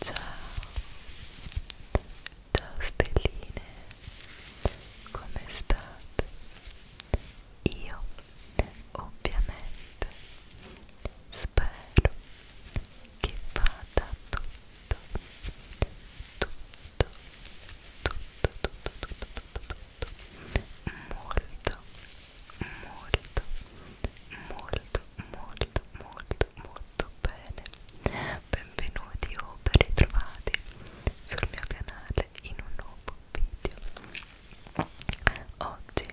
Ciao, ciao stelline, come state? Io ovviamente spero che vada tutto tutto tutto tutto tutto tutto tutto molto molto molto molto molto molto bene benvenuti o ben ritrovati sul mio canale in un nuovo video oggi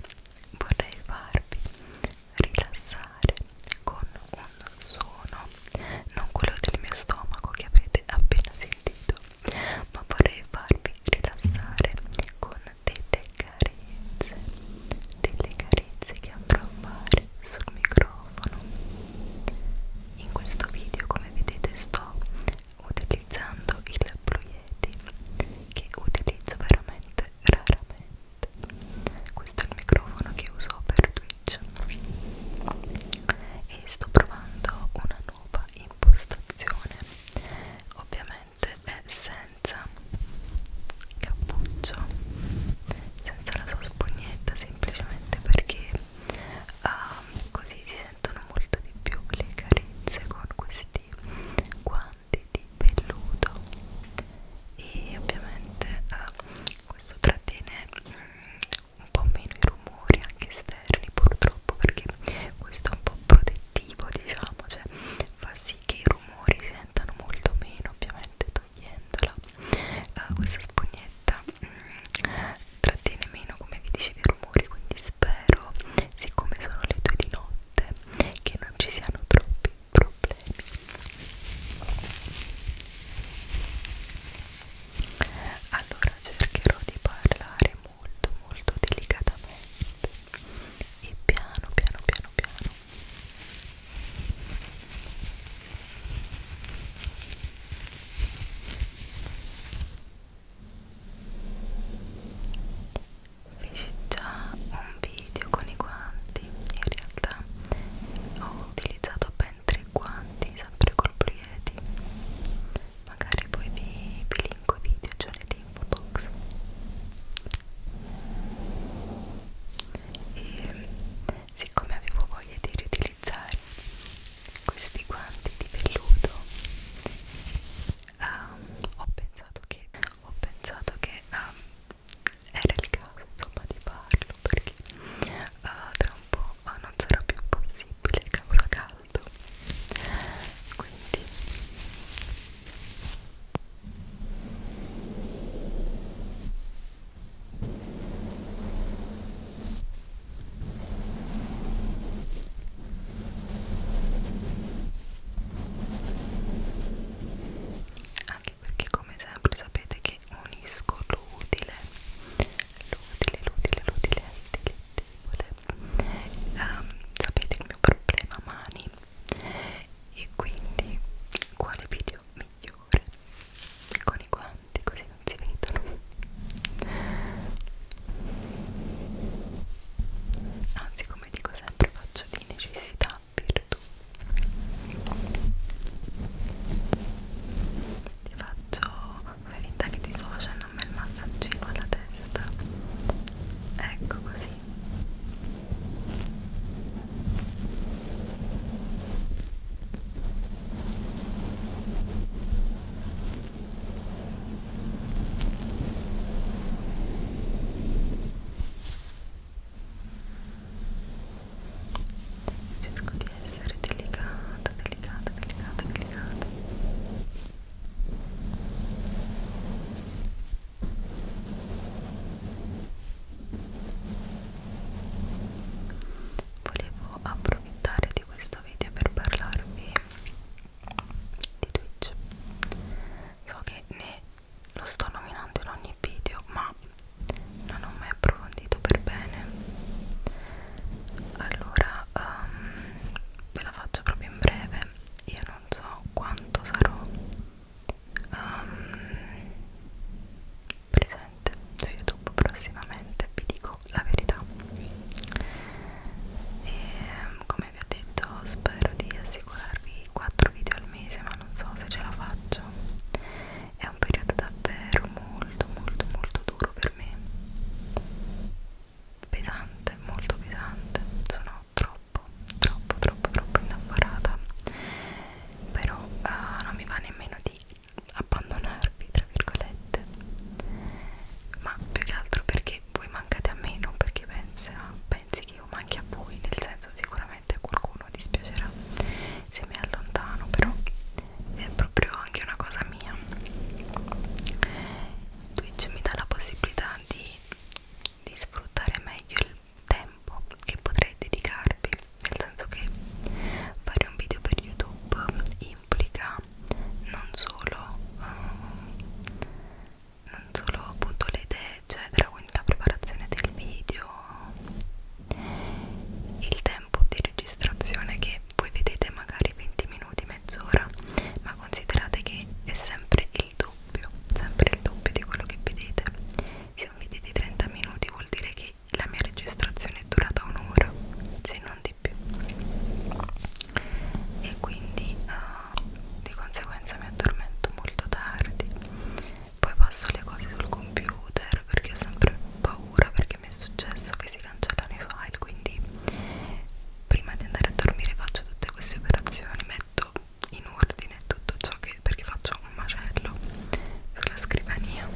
vorrei farvi rilassare con un suono, non quello del mio stomaco che avete appena sentito, ma vorrei farvi rilassare con delle carezze, delle carezze che andrò a fare sul microfono. In questo video, come vedete, sto utilizzando il Blue Yeti che utilizzo veramente raramente questo è il microfono che uso per Twitch e sto provando una nuova impostazione ovviamente è senza cappuccio senza la sua spugnetta semplicemente perché uh, così si sentono molto di più le carezze con questi guanti tratti di velluto e ovviamente eh, questo trattiene mm, un po' meno i rumori anche esterni purtroppo perché questo è un po' protettivo diciamo cioè fa sì che i rumori si sentano molto meno ovviamente togliendola eh, questa spugnetta mm, trattiene meno come vi dicevi i rumori quindi spero siccome sono le due di notte che non ci siano troppi problemi allora cercherò di parlare molto molto delicatamente e piano piano piano piano feci già un video con i guanti in realtà ho utilizzato ben tre guanti sempre col Brieti magari poi vi, vi linko i video già cioè nell'info box e siccome avevo voglia di riutilizzare questi guanti di velluto um, ho pensato che ho pensato che um, era il caso insomma di farlo perché uh, tra un po' uh, non sarà più possibile causa caldo quindi anche perché come sempre sapete che unisco l'utile l'utile, l'utile, l'utile um, sapete il mio problema mani e quindi quale video migliore con i guanti così non si vedono anzi come dico sempre faccio di necessità virtù ti faccio fai finta che ti sto facendo un bel massaggino alla testa ecco così cerco di essere delicata, delicata, delicata, delicata volevo approfittare di questo video per parlarvi di Twitch so che ne lo sto nominando in ogni video ma non ho mai approfondito per bene allora um, ve la faccio proprio in breve io non so quanto sarò um, presente su youtube prossimamente vi dico la verità e ehm, come come vi ho detto spero di assicurarvi 4 video al mese ma non so se ce la faccio è un periodo davvero molto molto molto duro per me pesante molto pesante sono troppo troppo troppo troppo indaffarata però uh, non mi va nemmeno di abbandonarvi tra virgolette ma più che altro perché voi mancate a me non perché pensa, pensi che io manchi a voi, nel senso sicuramente a qualcuno dispiacerà se mi allontano, però è proprio anche una cosa mia. Twitch mi dà la possibilità di, di sfruttare meglio il tempo che potrei dedicarvi, nel senso che fare un video per YouTube implica non solo... Um, non solo appunto le idee eccetera quindi la preparazione del video il tempo di registrazione che voi vedete magari 20 minuti mezz'ora ma considerate che è sempre il doppio sempre il doppio di quello che vedete se un video di 30 minuti vuol dire che la mia registrazione è durata un'ora se non di più e quindi uh, di conseguenza mi addormento molto tardi poi passo le cose sul computer perché ho sempre paura perché mi è successo che si cancellano i file quindi prima di andare a dormire faccio tutte queste operazioni metto in ordine tutto ciò che perché faccio un macello sulla scrivania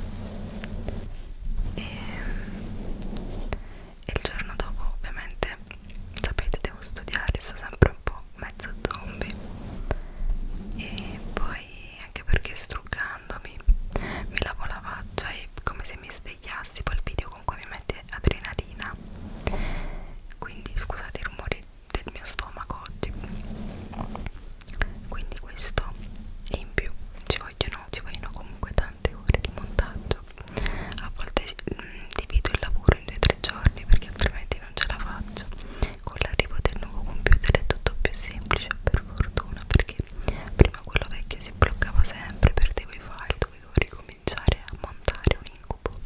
e ehm, e il giorno dopo ovviamente sapete devo studiare sono sempre un po' mezzo zombie e poi anche perché struccandomi mi lavo la faccia cioè, e come se mi svegliassi poi il video comunque mi mette adrenalina quindi scusate i rumori del mio stomaco oggi quindi questo e in più ci vogliono, ci vogliono comunque tante ore di montaggio faccio a volte mh, mm, divido il lavoro in 2-3 giorni perché altrimenti non ce la faccio con l'arrivo del nuovo computer è tutto più semplice per fortuna perché prima quello vecchio si bloccava sempre perdevo i file dovevo ricominciare a montare un incubo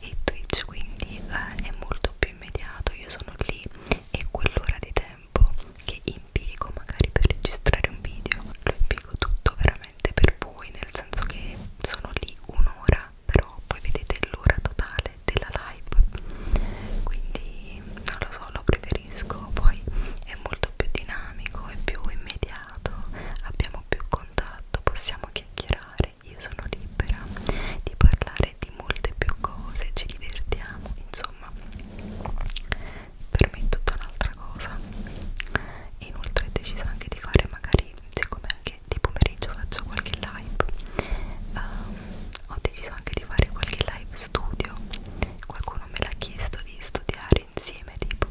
e Twitch quindi eh, è molto più immediato io sono lì e quell'ora di tempo che impiego magari per registrare un video lo impiego tutto veramente veramente per voi, nel senso che sono lì un'ora, però poi vedete l'ora totale della live, quindi non lo so, lo preferisco, poi è molto più dinamico, è più immediato, abbiamo più contatto, possiamo chiacchierare, io sono libera di parlare di molte più cose, ci divertiamo, insomma per me è tutta un'altra un'altra cosa e inoltre ho deciso anche di fare magari siccome anche di pomeriggio faccio qualche live um, ho deciso anche di fare qualche live studio qualcuno me l'ha chiesto di studiare insieme tipo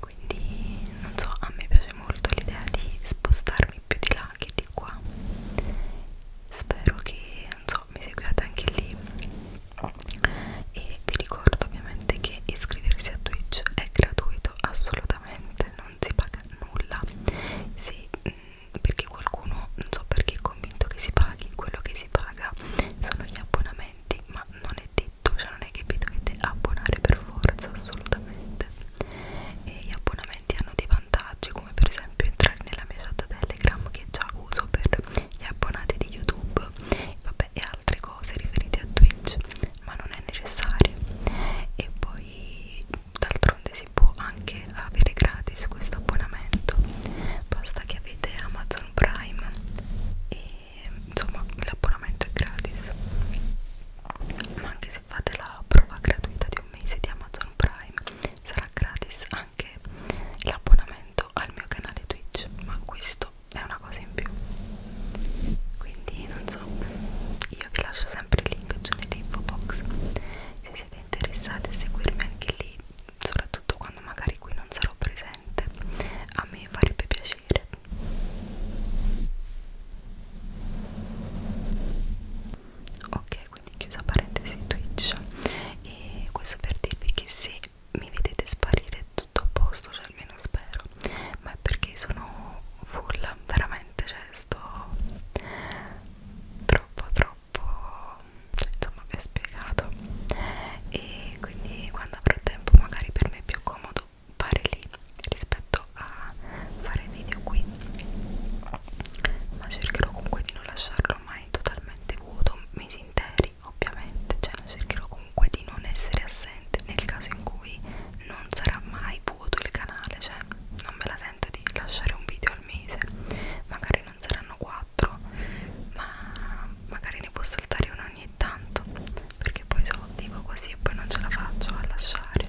quindi non so a me piace molto l'idea di spostarmi più di là che di qua spero che non so mi seguiate anche lì e vi ricordo ovviamente che iscriversi a Twitch è gratuito assolutamente, non si paga nulla se, mm, perché qualcuno, non so perché è convinto che si paghi, quello che si paga sono gli abbonamenti ma non è detto, cioè non è che vi dovete abbonare per forza assolutamente e gli abbonamenti hanno dei vantaggi come per esempio entrare nella mia chat Telegram che già uso per gli abbonati di YouTube vabbè e altre cose cose riferite a Twitch, ma non è necessario. E poi d'altronde si può anche avere gratis questo abbonamento. Basta che avete Amazon Prime e insomma l'abbonamento è gratis. Ma anche se fate la prova gratuita di un mese di Amazon Prime sarà gratis anche l'abbonamento al mio canale Twitch, ma questo è una cosa in più quindi non so io vi lascio sempre il link giù nell'info box se siete interessati a seguirmi anche lì soprattutto quando magari qui non sarò presente a me farebbe piacere ok quindi chiusa parentesi twitch e questo per dirvi che se mi vedete sparire tutto a posto, cioè almeno spero, ma è perché sono full, veramente, cioè sto troppo troppo, cioè, insomma vi ho spiegato e quindi quando avrò tempo magari per me è più comodo fare lì rispetto a fare video qui ma cercherò comunque di non lasciarlo mai totalmente vuoto mesi interi libri ovviamente cioè cercherò comunque di non essere assente nel caso in cui non sarà mai vuoto il canale cioè non me la sento di lasciare un video al mese magari non saranno quattro ma magari ne può saltare uno ogni tanto perché poi so dico così e poi non ce la faccio a lasciare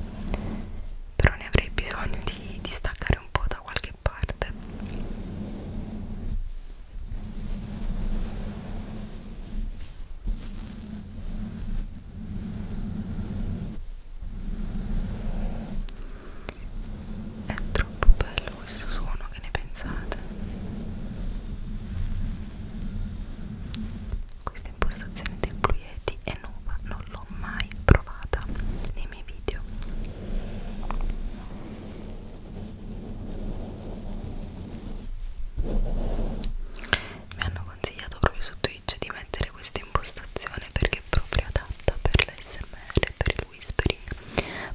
però ne avrei bisogno di, di staccare un po' da qualche parte è troppo bello questo suono, che ne pensate? Questa impostazione del Blue Yeti è nuova, non l'ho mai provata nei miei video mi hanno consigliato proprio su Twitch di mettere questa impostazione perché è proprio adatta per l'SMR, per il whispering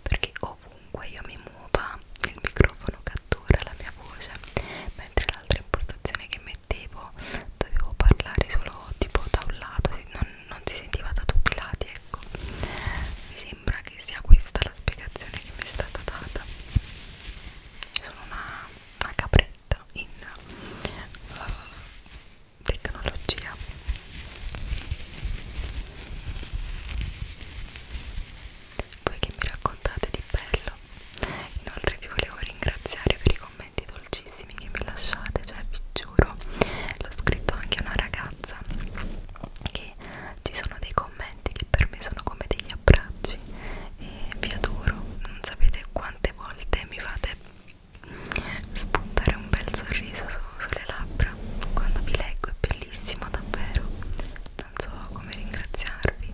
perché ovunque io mi muova il microfono cattura la mia voce mentre l'altra impostazione che mettevo dovevo parlare solo tipo da un lato non, non si sentiva da tutti i lati ecco mi sembra sembra che sia questa la spiegazione che mi è stata data sono una, una capretta in uh, tecnologia voi che mi raccontate di bello inoltre vi volevo ringraziare per i commenti dolcissimi che mi lasciate cioè vi giuro l'ho scritto anche a una ragazza che perché ci sono dei commenti che per me sono come degli abbracci e vi adoro, non sapete quante volte mi fate spuntare un bel sorriso su, sulle labbra quando vi leggo, è bellissimo davvero, non so come ringraziarvi.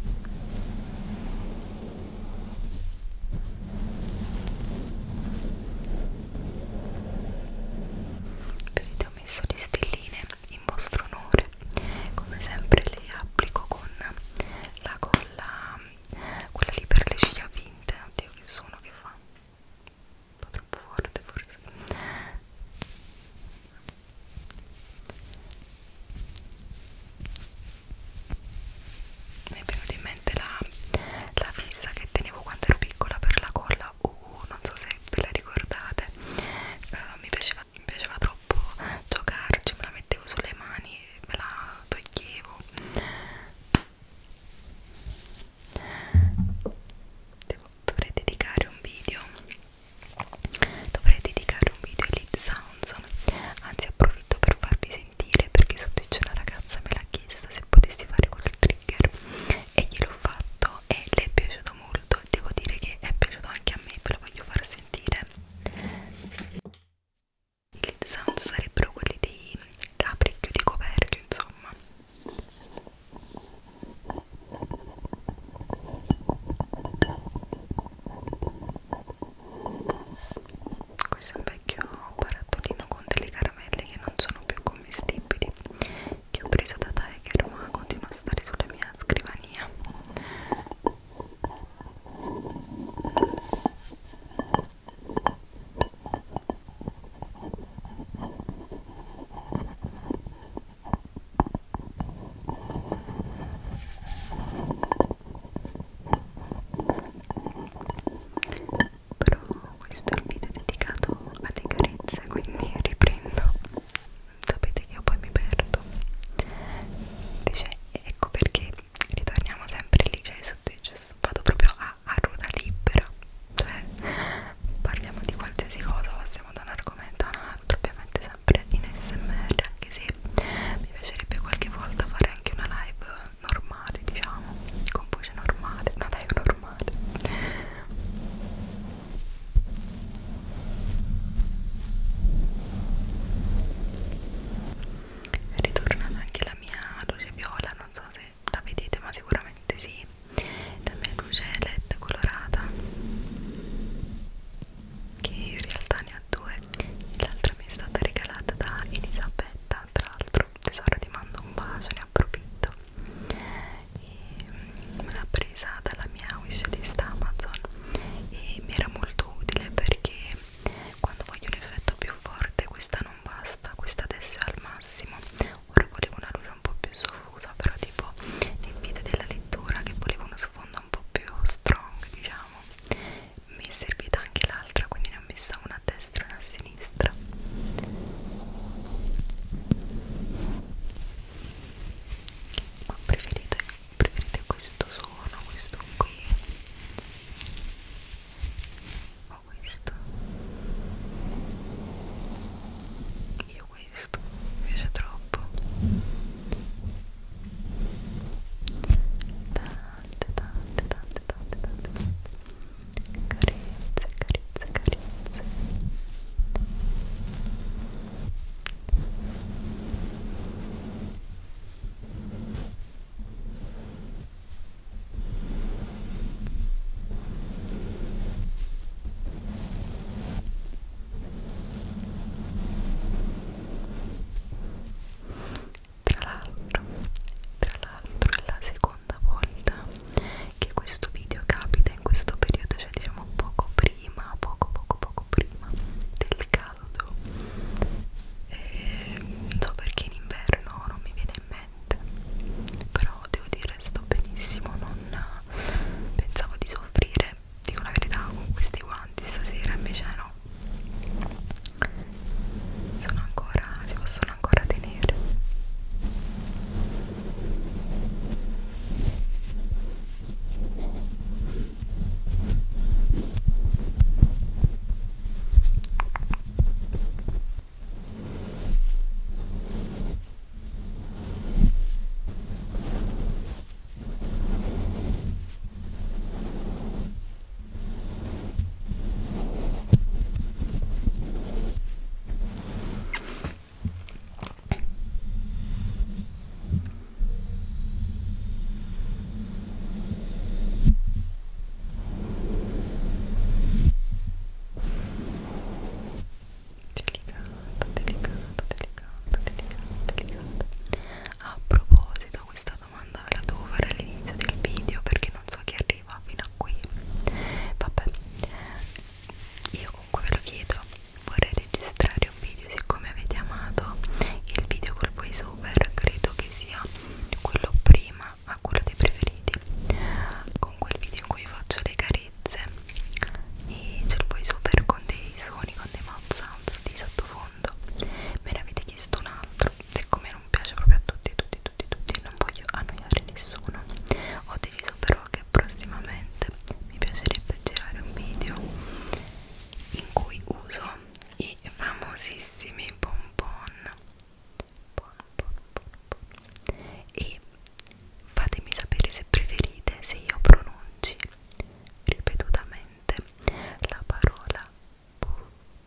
Vedete ho messo le stelline in vostro onore come sempre le applico con la colla quella lì per le ciglia finte oddio che sono che fa un po' troppo forte forse mi è venuta in mente la, la fissa che tenevo quando ero piccola per la colla U, non so se ve la ricordate, uh, mi, piaceva, mi piaceva troppo giocarci, me la mettevo sulle mani e me la toglievo. Devo, dovrei dedicare un video, dovrei dedicare un video ai lead sounds, anzi approfitto per farvi sentire perché sotto c'è una ragazza me l'ha chiesto se potessi fare quel trigger e gliel'ho fatto e le è piaciuto molto piaciuto devo dire che è piaciuto anche a me ve lo voglio far sentire i lead sound sarebbero quelli dei capri chiudi coperchio insomma questo è un vecchio barattolino con delle caramelle che non sono più commestibili che ho preso da Tiger ma continua a stare sulla mia scrivania però questo è il video dedicato alle carezze quindi riprendo sapete che io poi mi perdo invece ecco perché ritorniamo sempre lì cioè su Twitch vado proprio a, a ruota libera cioè parliamo di qualsiasi cosa passiamo da un argomento a un altro ovviamente sempre in smr anche se mi piacerebbe qualche volta fare anche una live normale diciamo con voce normale una live normale è ritornata anche la mia luce viola, non so se la vedete, ma sicuramente sì. La mia luce LED colorata, che in realtà ne ho due, l'altra mi è stata regalata da Elisabetta. Tra l'altro, tesoro, ti mando un bacio, ne approfitto e me mm, l'ha presa dalla mia wishlist Amazon e mi era molto utile perché quando voglio un effetto più forte questa non basta, questa adesso è al massimo ora volevo una luce un po' più soffusa però tipo nel video della lettura che volevo uno sfondo un po' più strong diciamo mi è servita anche l'altra quindi ne ho messa una a destra e una a sinistra sinistra ma preferite, preferite questo suono, questo qui o questo? io questo, mi piace troppo tante tante tante tante tante tante carezze, carezze, carezze tra l'altro, tra l'altro la seconda seconda volta che questo video capita in questo periodo, cioè diciamo poco prima, poco poco poco prima del caldo. E ehm, non so perché in inverno non mi viene in mente, però devo dire sto benissimo, non pensavo di soffrire, dico la verità, con questi guanti stasera invece no. Sono ancora, si possono possono ancora tenere Delicata, delicata, delicata, delicata, delicata. A proposito, questa domanda ve la devo fare all'inizio del video perché non so chi arriva arriva fino a qui vabbè io comunque ve lo chiedo vorrei registrare un video siccome avete amato il video col voiceover credo che sia quello prima a quello dei preferiti con quel video in cui faccio le carezze e c'è il voiceover con dei suoni con dei mouth sounds di sottofondo me ne avete chiesto un altro siccome non non piace proprio a tutti, tutti, tutti, tutti, non voglio annoiare nessuno. Ho deciso però che prossimamente mi piacerebbe girare un video in cui uso i famosissimi bonbon. Bon, bon, bon, bon. E fatemi sapere se preferite se io pronunci ripetutamente la parola bu,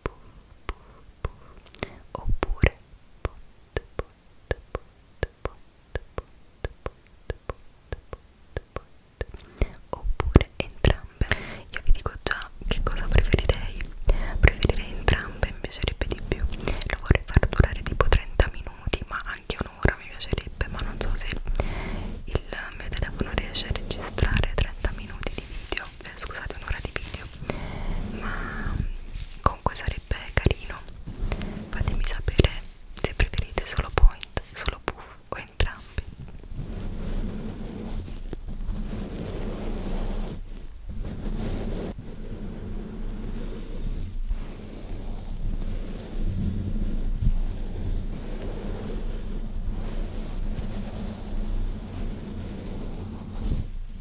bu, bu, bu, oppure pot, pot, pot, pot, pot, pot, pot, pot, oppure entrambe. Io vi dico già che cosa preferirei. Preferirei entrambe, mi piacerebbe di più. Lo vorrei far durare tipo 30 minuti, ma anche un'ora mi piacerebbe, ma non so se il mio telefono riesce a registrare 30 minuti di video video eh, scusate un'ora di video ma comunque sarebbe carino fatemi sapere se preferite solo point solo puff o entrambi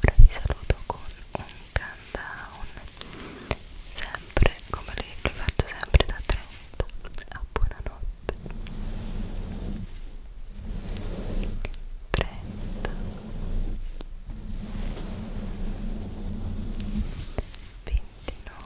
Ora vi saluto con un countdown, sempre come li, li faccio sempre da 30 a buonanotte. 30 29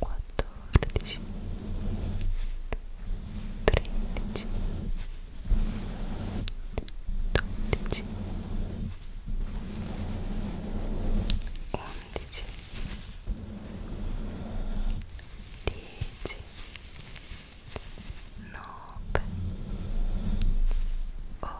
quattordici, tredici, dodici, undici, dieci, nove, otto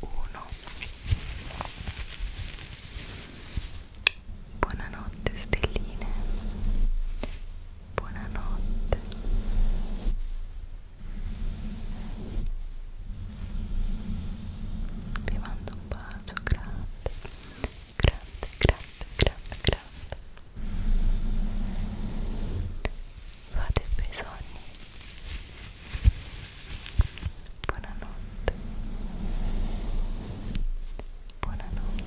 1 Buonanotte stelline Buonanotte Vi mando un bacio grande grande grande grande grande fate i bei sogni buonanotte buonanotte